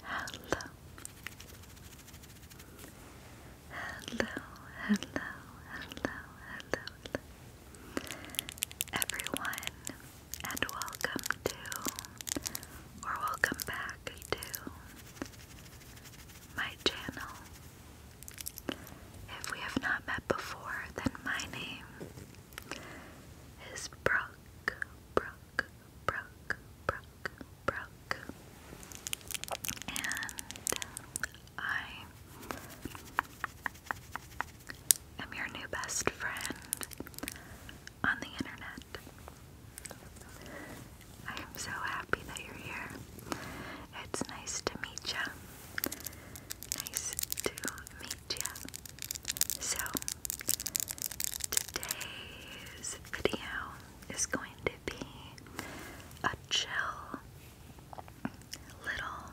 Hello. Hello, hello, hello, Everyone, and welcome to, or welcome back to, my channel. If we have not met before, then my name is Brock, Brock, Brock, Brock, Brock. And I am your new best friend on the internet. I am so happy that you're here. It's nice to meet you. Nice to meet you. So, today's video is going to be a chill little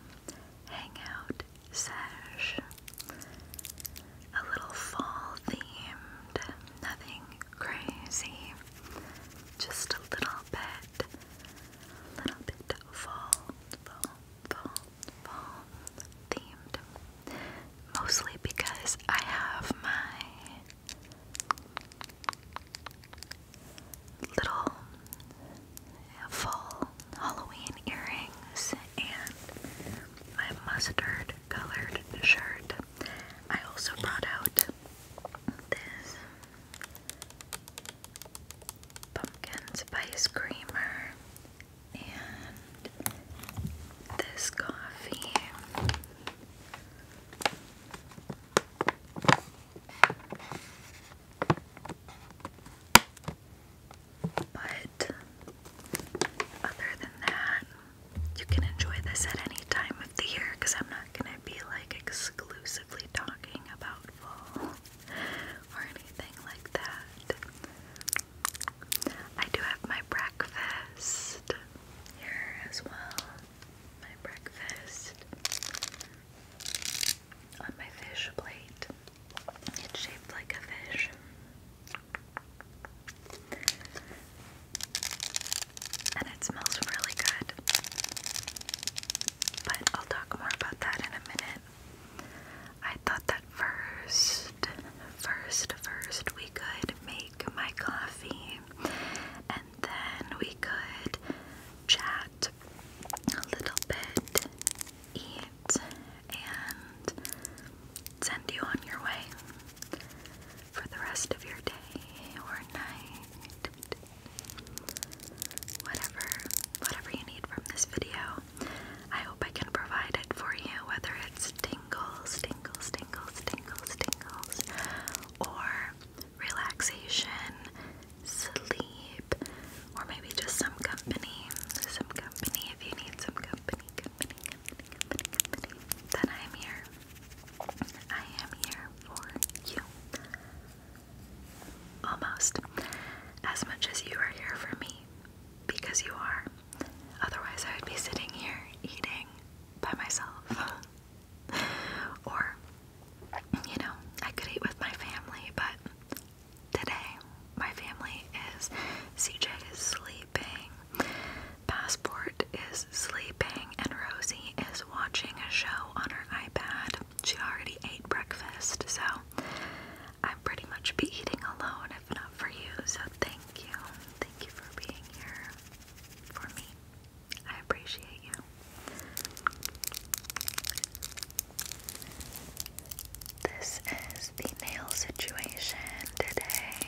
hangout sesh. A little fall themed, nothing crazy, just a little bit, little bit fall, fall, fall, fall themed. Mostly because I have my little fall Halloween earrings and my mustard colored shirt. I also brought out this pumpkin spice creamer and this coffee. But other than that, you can enjoy this at any time of the year because I'm not going to be like exclusively talking about fall or anything like that. I do have my breakfast here as well. My breakfast on my fish plate. It's shaped like a fish. And it smells really good. But I'll talk more about that in a minute. I thought that first, first, first we could make my coffee and then we could chat a little bit, eat, and send you on your way for the rest of your day or night. Whatever, whatever you need from this video, I hope I can provide it for you, whether it's tingles, tingles, tingles, tingles, tingles, or relaxation, sleep, or maybe just some company. Some company. If you need some company, company, company, company, company, then I am here. I am here for you. Almost. As much as you are here for me because you are. Otherwise, I would be sitting here eating by myself. or, you know, I could eat with my family, but today my family is. CJ is sleeping, Passport is sleeping, and Rosie is watching a show on her iPad. She already ate breakfast, so I pretty much be eating alone if not for you. So thank you. Thank you for being here for me. I appreciate you. This is the nail situation today.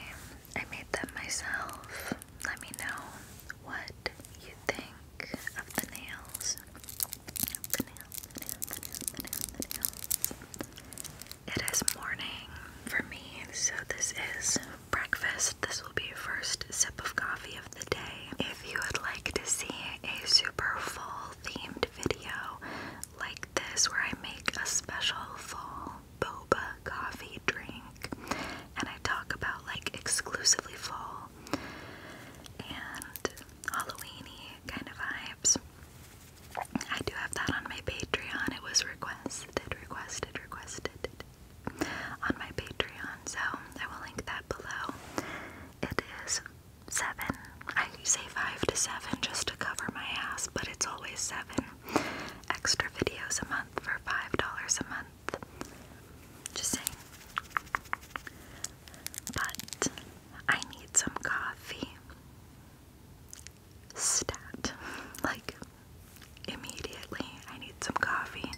I made them myself. Let me know what you think Of the nails. It is morning for me, so this is breakfast. This will be first sip of coffee of the day. If you would like to see a super fall themed video like this, where I make a special fall boba coffee drink and I talk about like exclusively fall and Halloweeny kind of vibes. I do have that on my Patreon. It was requested, requested, requested on my Patreon, so I will link that below. It is seven. I say five to seven just to cover my ass, but it's always seven extra videos a month for five dollars a month. Just saying. But I need some coffee. Stat. Like, immediately, I need some coffee.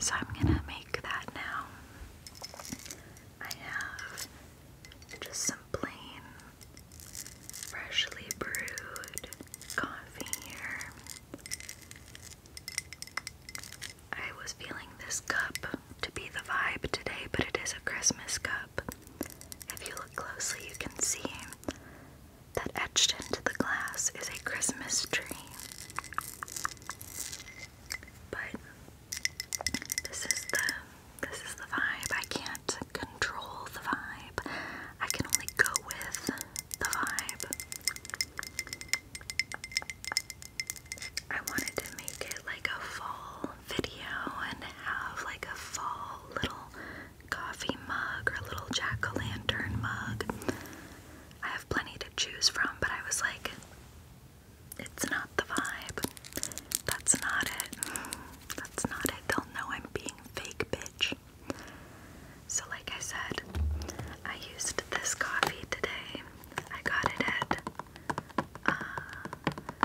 So I'm gonna make that now. I have just some plain, freshly brewed coffee here. I was feeling this cup to be the vibe today, but it is a Christmas cup. If you look closely, you can see that etched into the glass is a Christmas tree. But this is the this is the vibe. I can't control the vibe. I can only go with the vibe. I wanted to make it like a fall video and have like a fall little coffee mug or little jack o' lantern mug. I have plenty to choose from, but I was like, it's not the vibe. That's not it. That's not it. They'll know I'm being fake, bitch. So, like I said, I used this coffee today. I got it at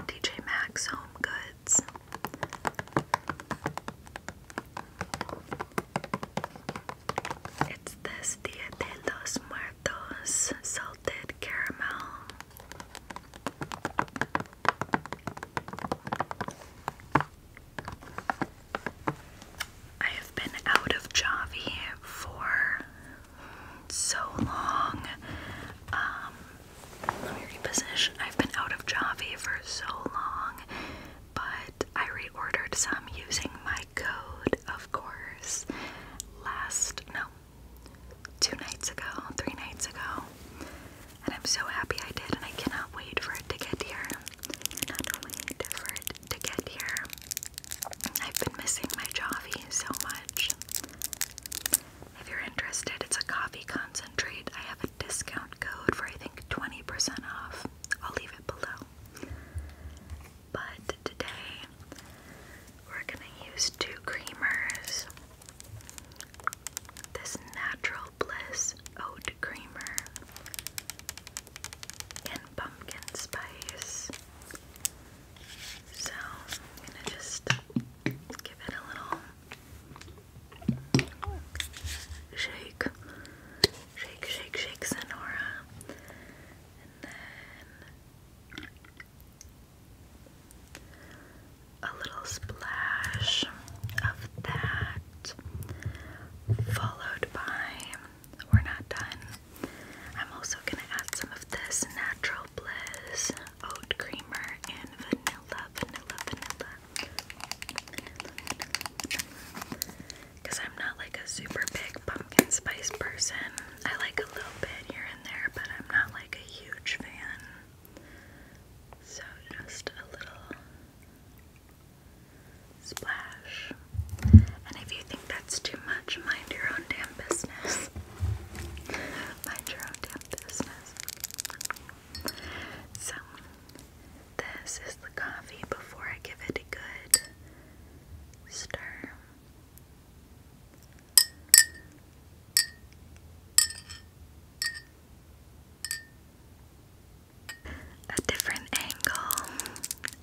DJ uh, Max Home Goods. It's this los Muertos salted caramel. I have been out of Javi for so long. Um, reposition. I've been out of Javi for so long, but I reordered some using my code, of course, last, no, two nights ago, three nights ago. And I'm so happy I did, and I cannot wait for it to get here. Cannot wait for it to get here. I've been missing my Javi so much. If you're interested, it's a coffee concentrate. I have a discount code for I think 20% off. I'll leave it below. But today we're gonna use two creamers. This Natural Bliss Oat Creamer and Pumpkin Spice. So I'm gonna just give it a little shake, shake, shake, shake, Senora, and then a little splash of that, followed by we're not done. I'm also gonna add some of this natural bliss oat creamer and vanilla, vanilla, vanilla, Because I'm not like a super big pumpkin spice person. I like a little bit here and there, but I'm not like a huge fan. So just a little splash. And if you think that's too much, mind your own damn business. mind your own damn so, this is the coffee before I give it a good stir. A different angle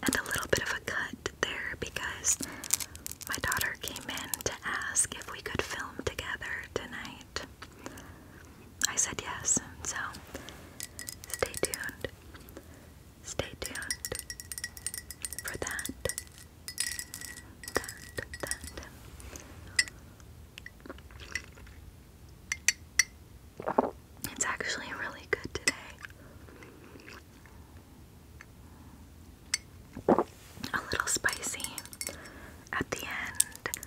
and a little bit of a cut there because my daughter came in to ask if we could film together tonight. I said yes, so stay tuned. Stay tuned for that. That, that. It's actually really good today a little spicy at the end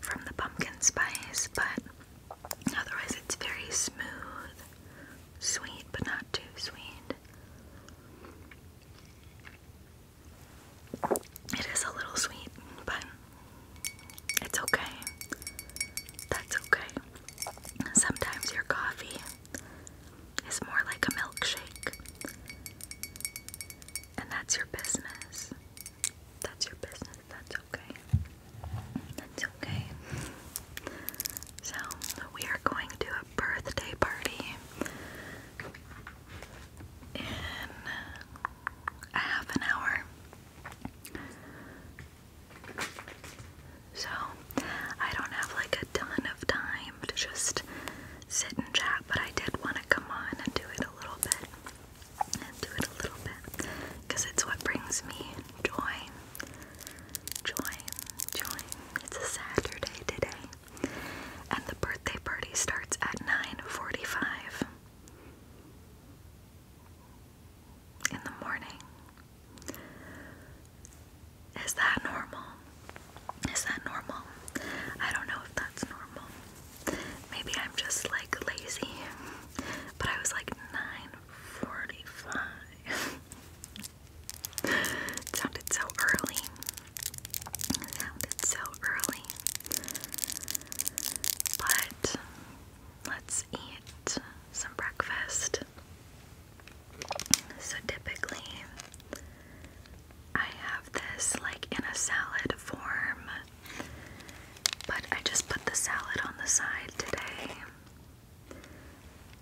from the pumpkin spice, but otherwise it's very smooth, sweet, but not too sweet. It is a little sweet, but it's okay. That's okay. Sometimes your coffee is more like a milkshake. And that's your business. That's your business. That's okay. That's okay. So, we are going to a birthday party in a half an hour. So, I don't have like a ton of time to just sit and chat, but I did want to come on and do it a little bit. And do it a little bit. Because it's what brings me joy. Joy. Joy. It's a Saturday today. And the birthday party starts at 9.45 in the morning. Is that normal? Is that normal? I don't know if that's normal. Maybe I'm just like lazy. But I was like 9:45. it sounded so early. It sounded so early. But let's eat some breakfast. So typically, I have this like in a salad form, but I just put the salad on the side today.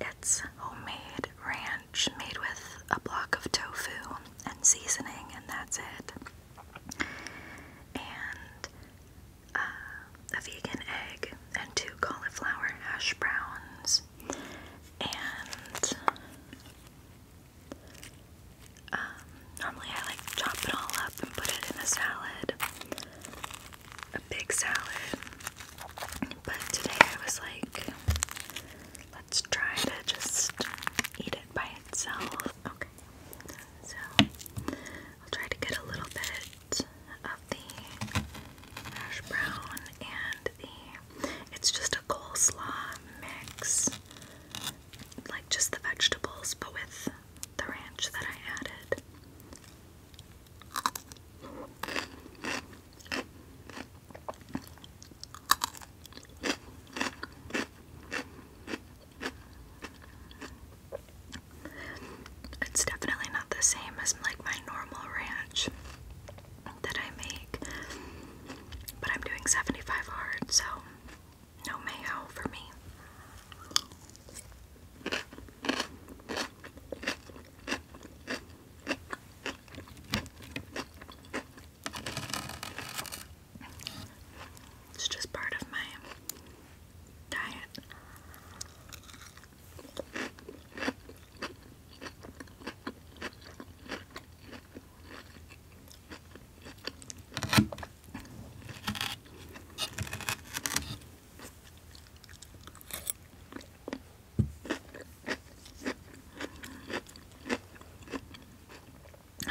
It's homemade ranch made with a block of tofu and seasoning, and that's it. And uh, a vegan egg and two cauliflower hash browns and um, normally I like chop it all up and put it in a salad, a big salad. But today I was like, let's try to just eat it by itself. Okay, so I'll try to get a little bit of the hash brown and the it's just a coleslaw mix, like just the vegetables, but with the ranch that I added. It's definitely not the same as like my normal ranch that I make. But I'm doing 75 hard, so no mayo for me. It's just part of my diet.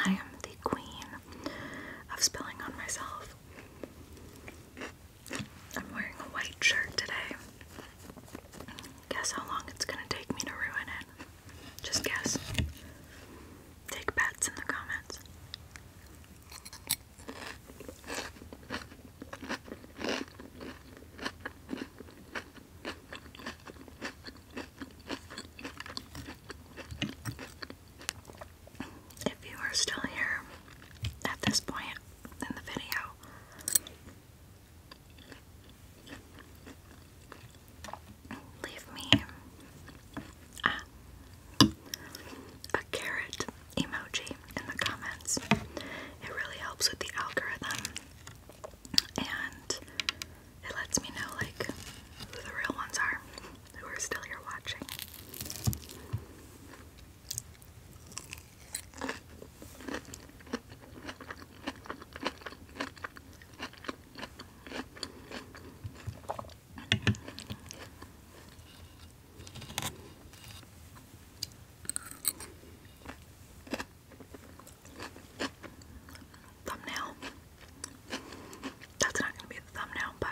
I am the queen of spilling on myself. I'm wearing a white shirt today. Guess how long it's gonna take me to ruin it. Just guess. Take bets in the comments. If you are still here at this point in the video, Leave me a carrot emoji in the comments. It really helps with the algorithm and it lets me know like who the real ones are who are still here watching. Thumbnail. That's not gonna be the thumbnail, but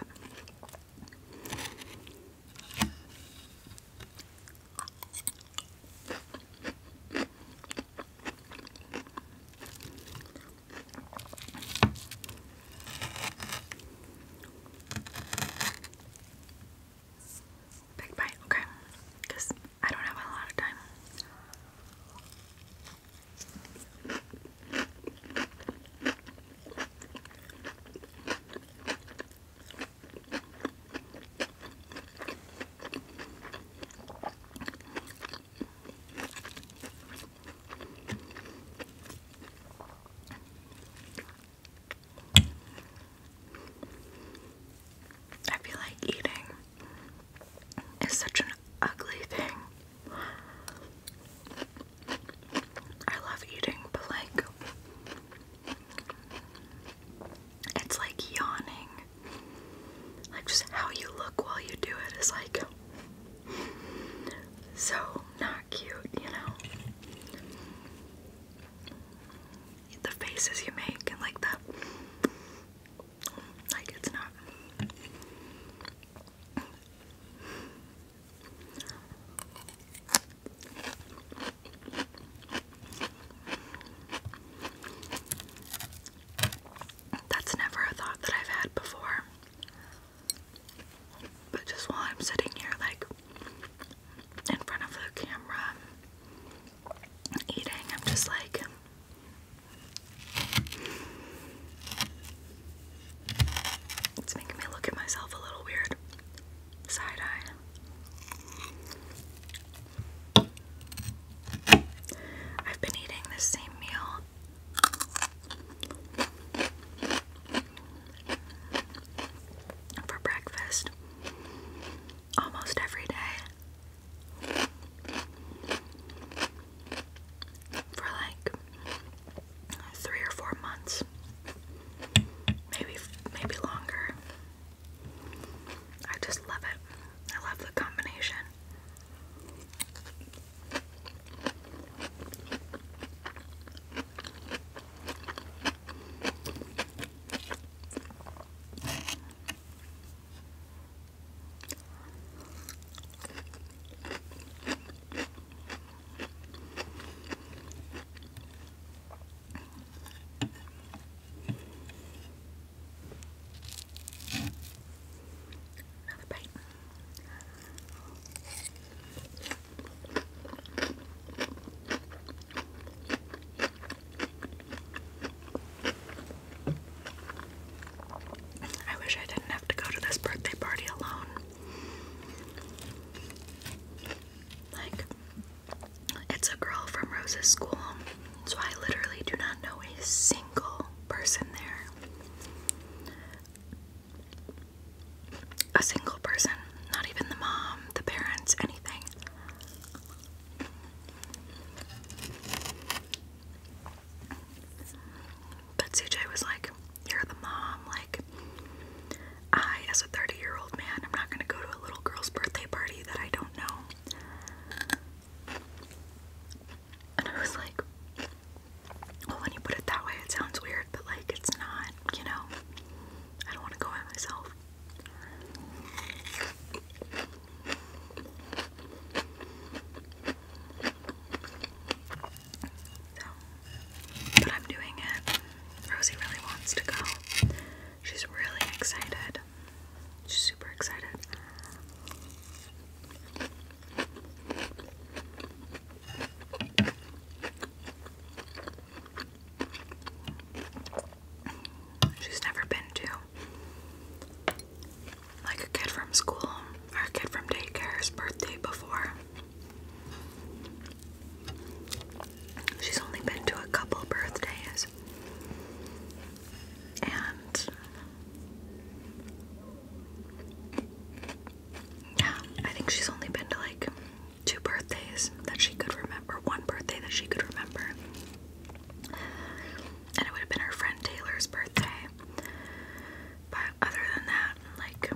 Big bite, okay, because I don't have a lot of time. I feel like eating is such an ugly thing. I love eating, but like it's like yawning. Like just how you look while you do it is like so not cute, you know. The faces you make and like the like it's not. That's never a thought that I've had before. But just while I'm sitting here, like in front of the camera, eating, I'm just like. It's making me look at myself a little weird. Side eye. I've been eating this same meal for breakfast almost every day for like three or four months maybe maybe longer I just love it. I love the combination. Another bite. I wish I didn't have to go to this birthday party alone. Like, it's a girl from Rose's school, so I literally do not know a single person there. A single person, not even the mom, the parents, anything. But CJ was like, You're the mom. Like, I, as a 30 year old man, I'm not going to go to a little girl's birthday party that I don't know. And I was like, well, when you put it that way, it sounds weird, but like it's not, you know? I don't want to go by myself. So, but I'm doing it. Rosie really wants to go. She's really excited. She's super excited. She's never been to like a kid from school or a kid from daycare's birthday before. She's only been to a couple birthdays. And yeah, I think she's only been to like two birthdays that she could remember, one birthday that she could remember. And it would have been her friend Taylor's birthday. But other than that, like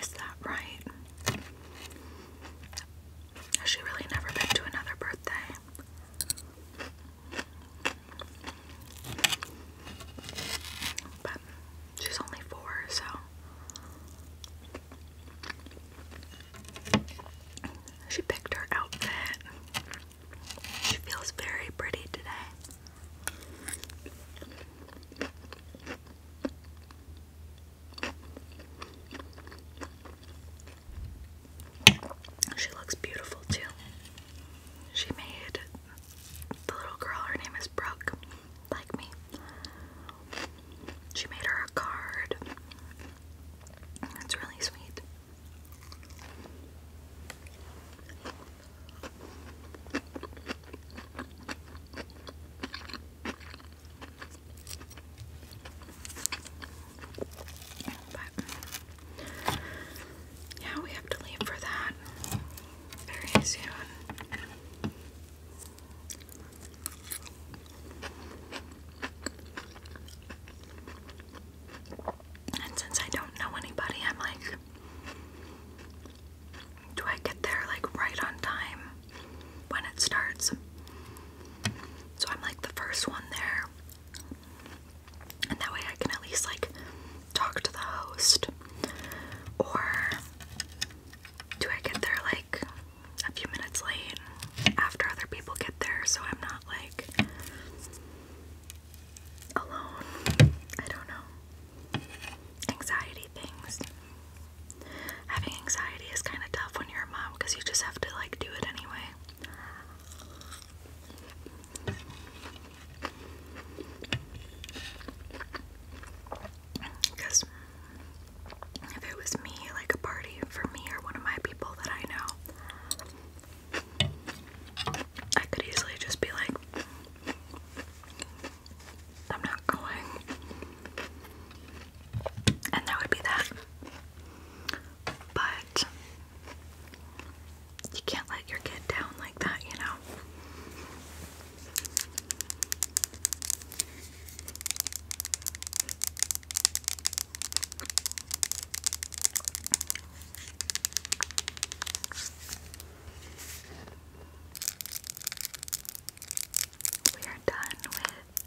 is that right? Has she really never been to another birthday? But she's only four, so she picked her outfit. She feels very pretty today. She looks beautiful too. She made the little girl, her name is Brooke, like me. She made her a card. That's really sweet. But yeah, we have to leave for that very soon. And since I don't know anybody, I'm like, do I get there like right on time when it starts? So I'm like the first one there. And that way I can at least like talk to the host. Or do I get there like a few minutes late after other people get there so I'm not like alone. I don't know. Anxiety things. Having anxiety is kind of tough when you're a mom because you just have to like do it anyway. Because if it was me, like a party for me or one of my people that I know, I could easily just be like, I'm not going. And that would be that. But you can't let your kid down like that, you know. We are done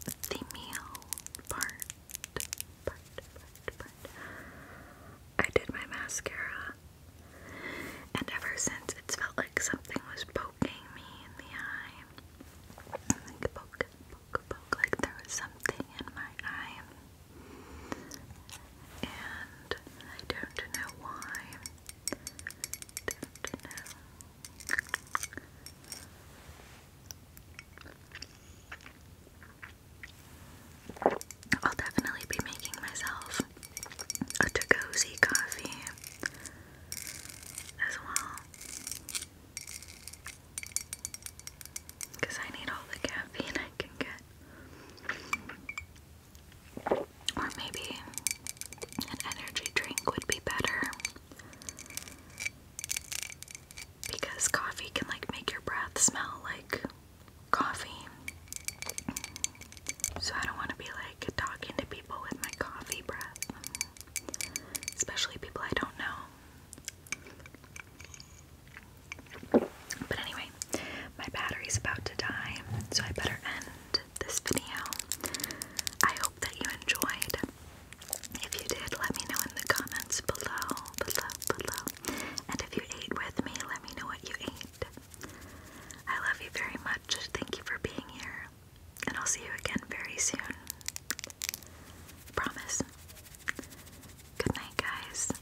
with the meal part. Part, I did my mascara, and ever since it's felt like something was poking me in the eye. Like poke, poke, poke, like there was something in my eye and I don't know why. I'll definitely be making myself a Tagosi coffee as well. Because I need all the caffeine I can get. Or maybe an energy drink would be better. Because coffee can like make your breath smell like coffee. So I don't want to be like talking to people with my coffee breath. Especially people I don't know. But anyway, my battery's about to die, so I better end this video. I hope that you enjoyed. If you did, let me know in the comments below, below, below. And if you ate with me, let me know what you ate. I love you very much. Thank you for being here. And I'll see you again very soon. Promise. Good night, guys.